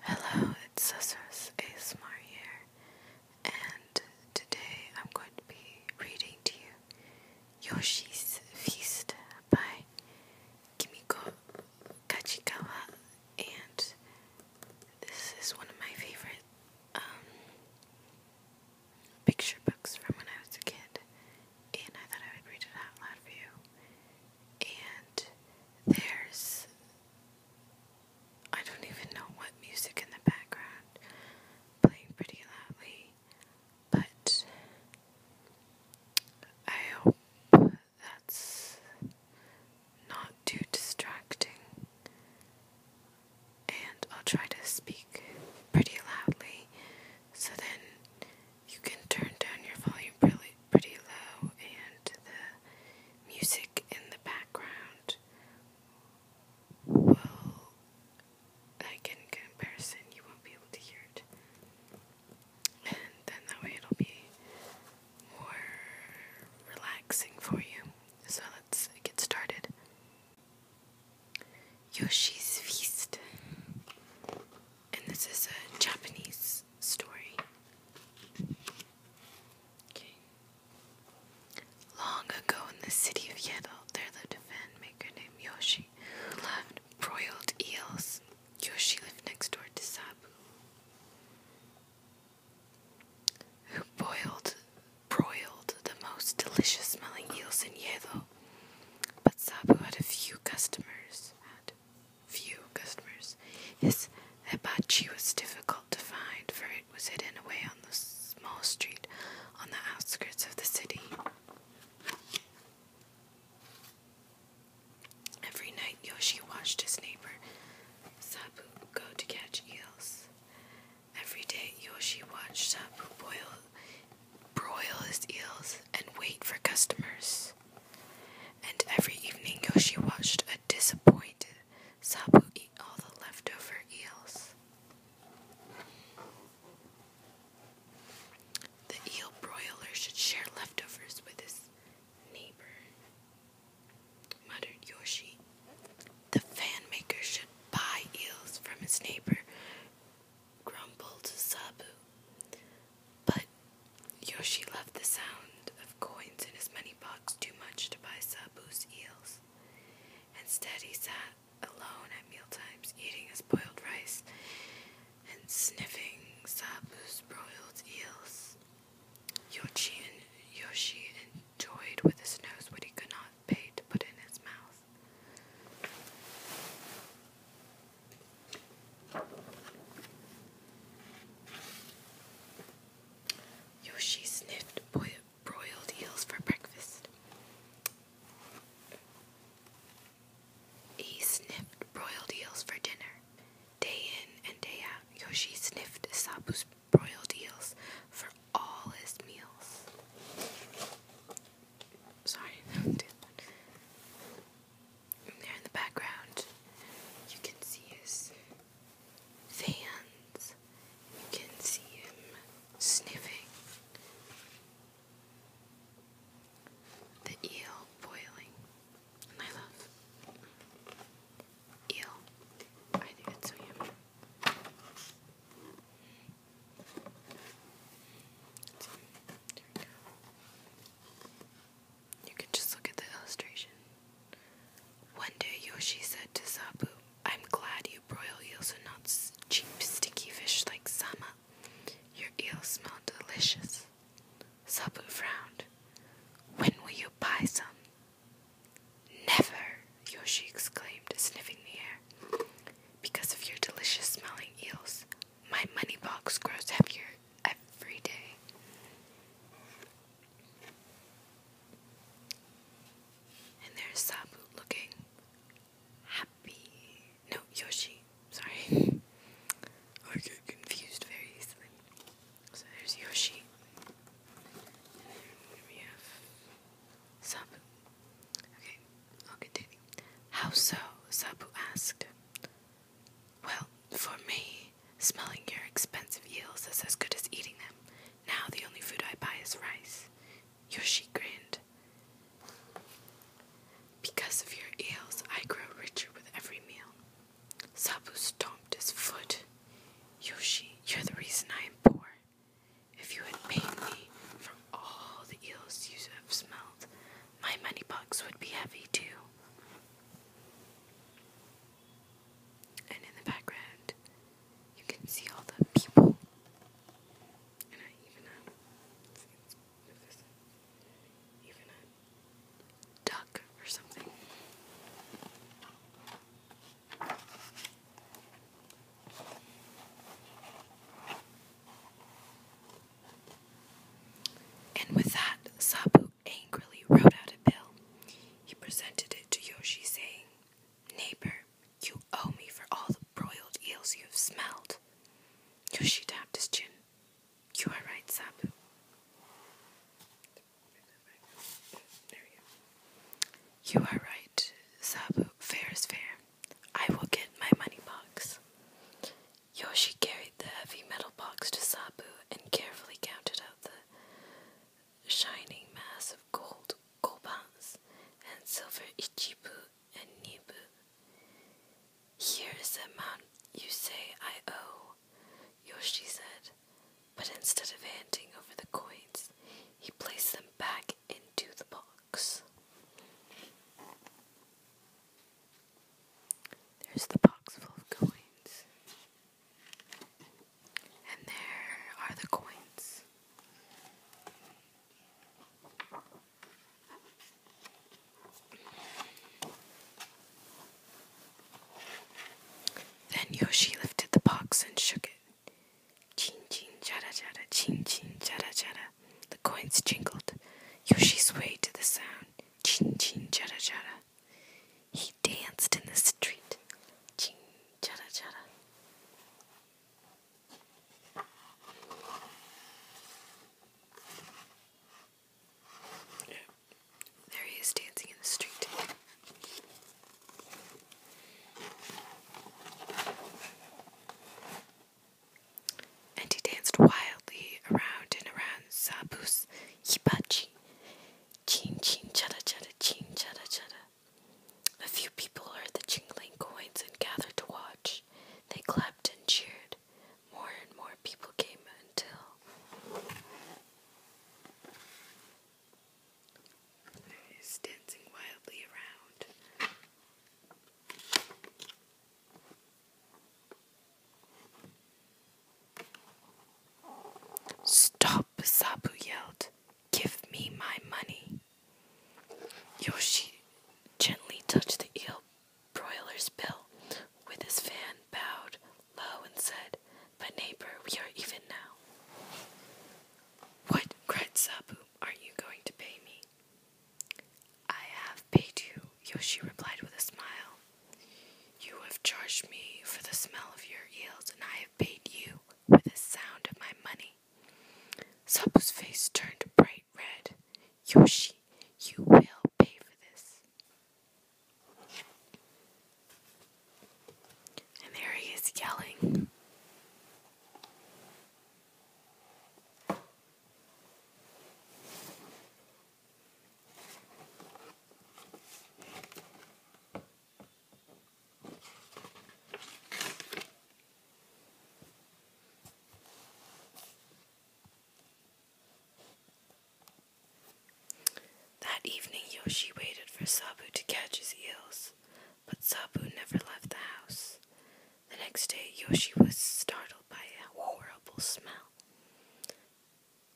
Hello, it's a Smart here, and today I'm going to be reading to you Yoshi's Feast by Kimiko Kachikawa, and this is one of my favorite um, picture books from when I was a kid, and I thought I would read it out loud for you and there's I don't even know what music in the background playing pretty loudly, but I hope that's not too distracting. And I'll try to speak pretty loudly so then you can turn down your volume pretty, pretty low and the music in the background will, like in comparison, you won't be able to hear it. And then that way it'll be more relaxing for you. So let's get started. Yoshi's Feast and this is a Japanese story. Okay. Long ago in the city of Yedo, there lived a fan maker named Yoshi who loved broiled eels. Yoshi lived next door to Sabu, who boiled, broiled the most delicious smelling eels in Yedo. But Sabu had a few customers. Had few customers. His hibachi was difficult to find, for it was hidden away on the small street on the outskirts of the city. Every night, Yoshi watched his neighbor Sabu go to catch eels. Every day, Yoshi watched Sabu boil broil his eels, and wait for customers. And every evening Yoshi watched a disappointed Sabu eat all the leftover eels. The eel broiler should share leftovers with his neighbor, muttered Yoshi. The fan maker should buy eels from his neighbor grumbled Sabu. But Yoshi loved the sound of coins in his money box too much to buy Sabu's eels. Instead, he sat alone at meal times, eating his boiled rice and sniffing Sabu's broiled eels. Yoshi and Yoshi enjoyed with his nose what he could not bite to put in his mouth. Yoshi sniffed broiled eels for breakfast. He sniffed broiled eels for dinner. Day in and day out, Yoshi sniffed Sabu's broiled eels for all his meals. Sorry, There in the background, you can see his fans. You can see him sniffing. The eel boiling. And I love eel. I think it's so yummy. You can just look at the illustration. One day Yoshi said to Sabu, I'm glad you broil eels and not cheap sticky fish like Sama. Your eels smell delicious. Sabu frowned. When will you buy some? Never, Yoshi exclaimed, sniffing the air. Because of your delicious smelling eels, my money box grows heavier every day. And there's Sabu looking happy. No, Yoshi. Sorry. I get confused very easily. So there's Yoshi. And then we have Sabu. Okay, I'll continue. How so? Sabu asked. Well, for me, smelling your expensive eels is as good as eating them. Now the only food I buy is rice. Yoshi grinned. Because of your eels, I grow richer with every meal. Sabu stomped his foot. Yoshi, you're the reason I am poor. If you had paid me for all the eels you have smelled. My money box would be heavy too. And in the background, you can see all the people. And I even a, uh, uh, duck or something. And with that, Sabu angrily wrote out a bill. He presented it to Yoshi, saying, Neighbor, you owe me for all the broiled eels you have smelled. Yoshi tapped his chin. You are right, Sabu. You are right, Sabu. Fair is fair. I will get my money box. Yoshi carried the heavy metal box to Sabu and carefully counted out the shining mass of gold, gobans, and silver ichibu and nibu. Here is the amount you say I owe, Yoshi said, but instead of handing over the coins, he placed them back into the box. There's the box full of coins. And there are the coins. Then Yoshi lifted the box and shook it. Chin chin chara chara, chin chin chara chara. The coins jingled. Yoshi swayed to the sound. Chin chin chara chara. He danced in the street. Chin chara chara. Yeah. There he is dancing in the street. And he danced wildly around and around Sabu's hibachi. Chin chin chada chada chin chada chada. A few people heard the jingling coins and gathered to watch. They clapped and cheered. More and more people came until Stop, Sabu yelled. Give me my money. Yoshi gently touched the eel broiler's bill with his fan, bowed low, and said, But neighbor, we are even now. What? cried Sabu. Are you going to pay me? I have paid you, Yoshi replied with a smile. You have charged me for the smell of your eels, and I have paid you with the sound of my money. Sabu's face turned bright red. Yoshi, you will pay for this. And there he is yelling. That evening, Yoshi waited for Sabu to catch his eels but Sabu never left the house. The next day, Yoshi was startled by a horrible smell.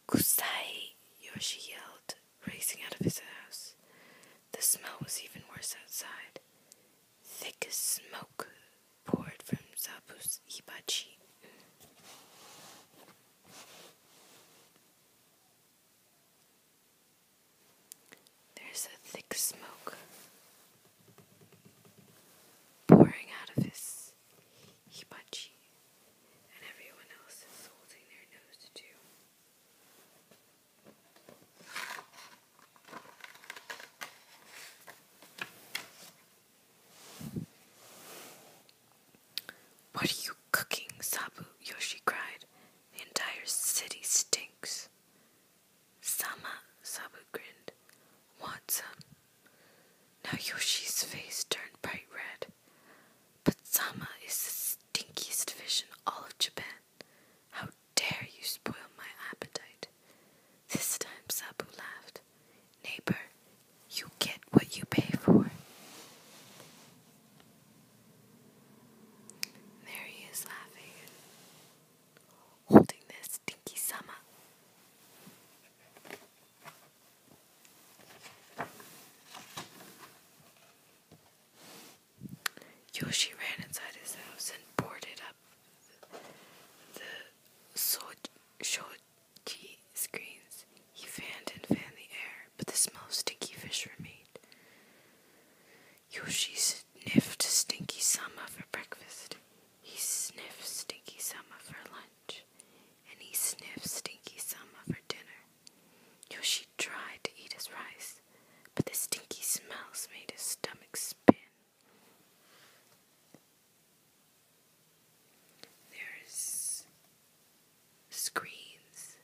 Kusai! Yoshi yelled, racing out of his house. The smell was even worse outside. Thick as smoke poured from Sabu's hibachi. There's a thick smoke pouring out of his hibachi, and everyone else is holding their nose too. What are you cooking, Sabu? Yoshi cried. The entire city stinks. Sama, Sabu grinned. Want Now Yoshi's face turned bright red. But Sama is the stinkiest fish in all of Japan. How dare you spoil my appetite? This time Sabu laughed. Neighbor, you get what you pay for. There he is laughing, holding this stinky sama. Yoshi ran inside his house and boarded up the shoji screens. He fanned and fanned the air, but the smell of stinky fish remained. Yoshi sniffed Stinky Sama for breakfast. He sniffed Stinky Sama for lunch. And he sniffed Stinky Sama for dinner. Yoshi tried to eat his rice, but the stinky smells made his stomach spin. There's screens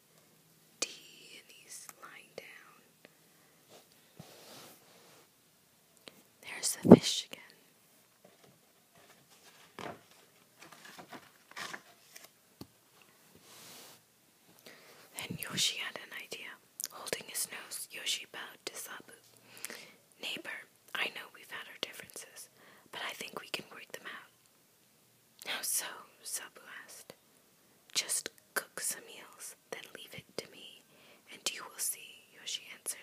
tea and he's lying down. There's the fish again. Then Yoshi had an idea. Holding his nose, Yoshi bowed to Sabu. Neighbor, I know we've had our differences, but I think we can work them out. Now, so? Sabu asked. Just cook some meals, then leave it to me, and you will see, Yoshi answered.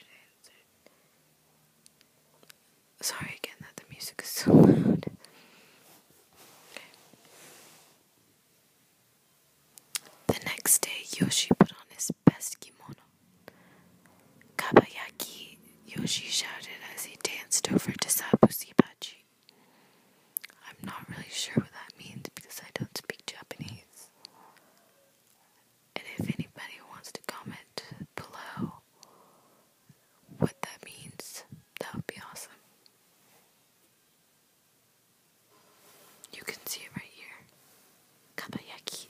Sorry again that the music is so loud. The next day, Yoshi put on his best kimono. Kabayaki, Yoshi shouted as he danced over to Sabu Sibachi. I'm not really sure what that means because I don't speak Japanese. And if anybody wants to comment below what that means, that would be awesome. You can see it right here. Kabayaki.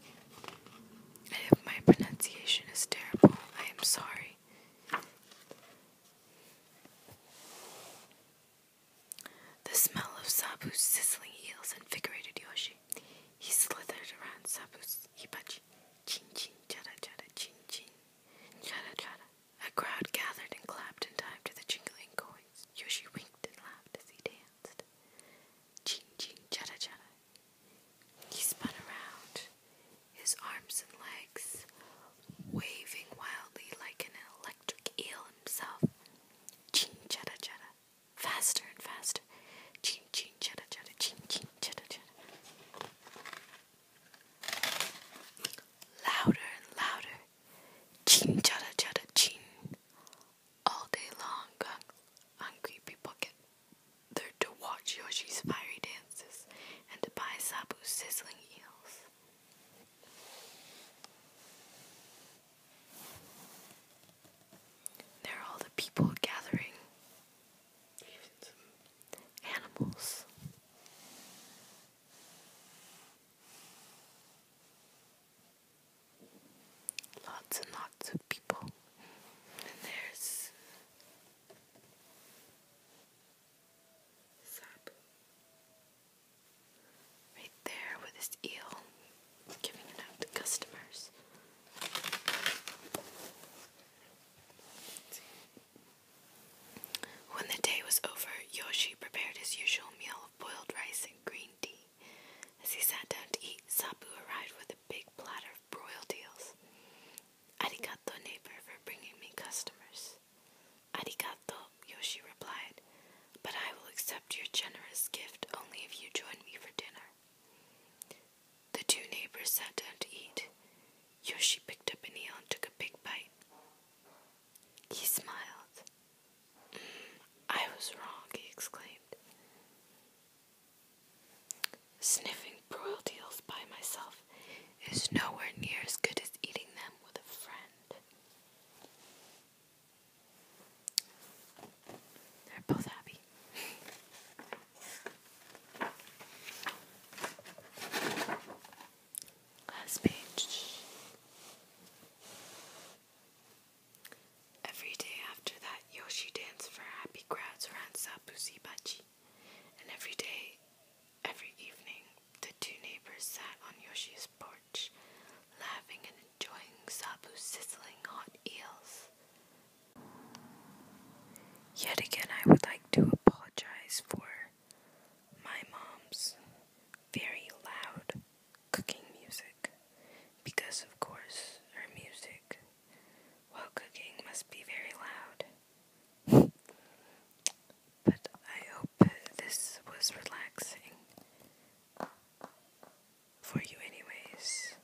if my pronunciation is terrible, I am sorry. The smell of Sabu's sizzling heels invigorated Yoshi. He slithered around Sabu's hibachi. Ching ching chada chada, ching ching chada chada. A crowd gathered and clapped in time to the jingling coins. Yoshi winked and laughed as he danced. Ching ching chada chada, he spun around, his arms and legs waving wildly like an electric eel himself. Ching chada chada. Faster and faster. Ching ching chada chada. Ching ching chada chada. Louder and louder. Ching chada chada ching. All day long, hungry people get there to watch Yoshi's fiery dances and to buy Sabu's sizzling eels. There are all the people gathering, animals. Lots and lots of people. And there's Sabu. Right there with his eel, giving it out to customers. When the day was over, Yoshi prepared his usual meal of boiled rice and green tea. As he sat down to eat, Sabu arrived with a big platter of broiled eels. Arigato, neighbor, for bringing me customers. Arigato, Yoshi replied, but I will accept your generous gift only if you join me for dinner. The two neighbors sat down to eat. Yoshi picked up an eel and took a big bite. He smiled. Mm, I was wrong, he exclaimed. Sniffing broiled eels by myself is nowhere near as good as eating them with a friend. They're both happy. Last page. Every day after that Yoshi danced for happy crowds around Sabuzibachi, and every day, every evening, the two neighbors sat on Yoshi's porch, laughing and enjoying Sabu's sizzling hot eels. Yet again, I would like to apologize for my mom's very loud cooking music, because of course her music while cooking must be very loud. but I hope this was relaxing for you, anyways.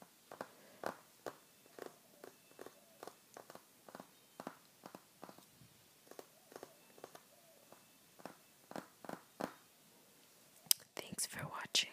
Thanks for watching.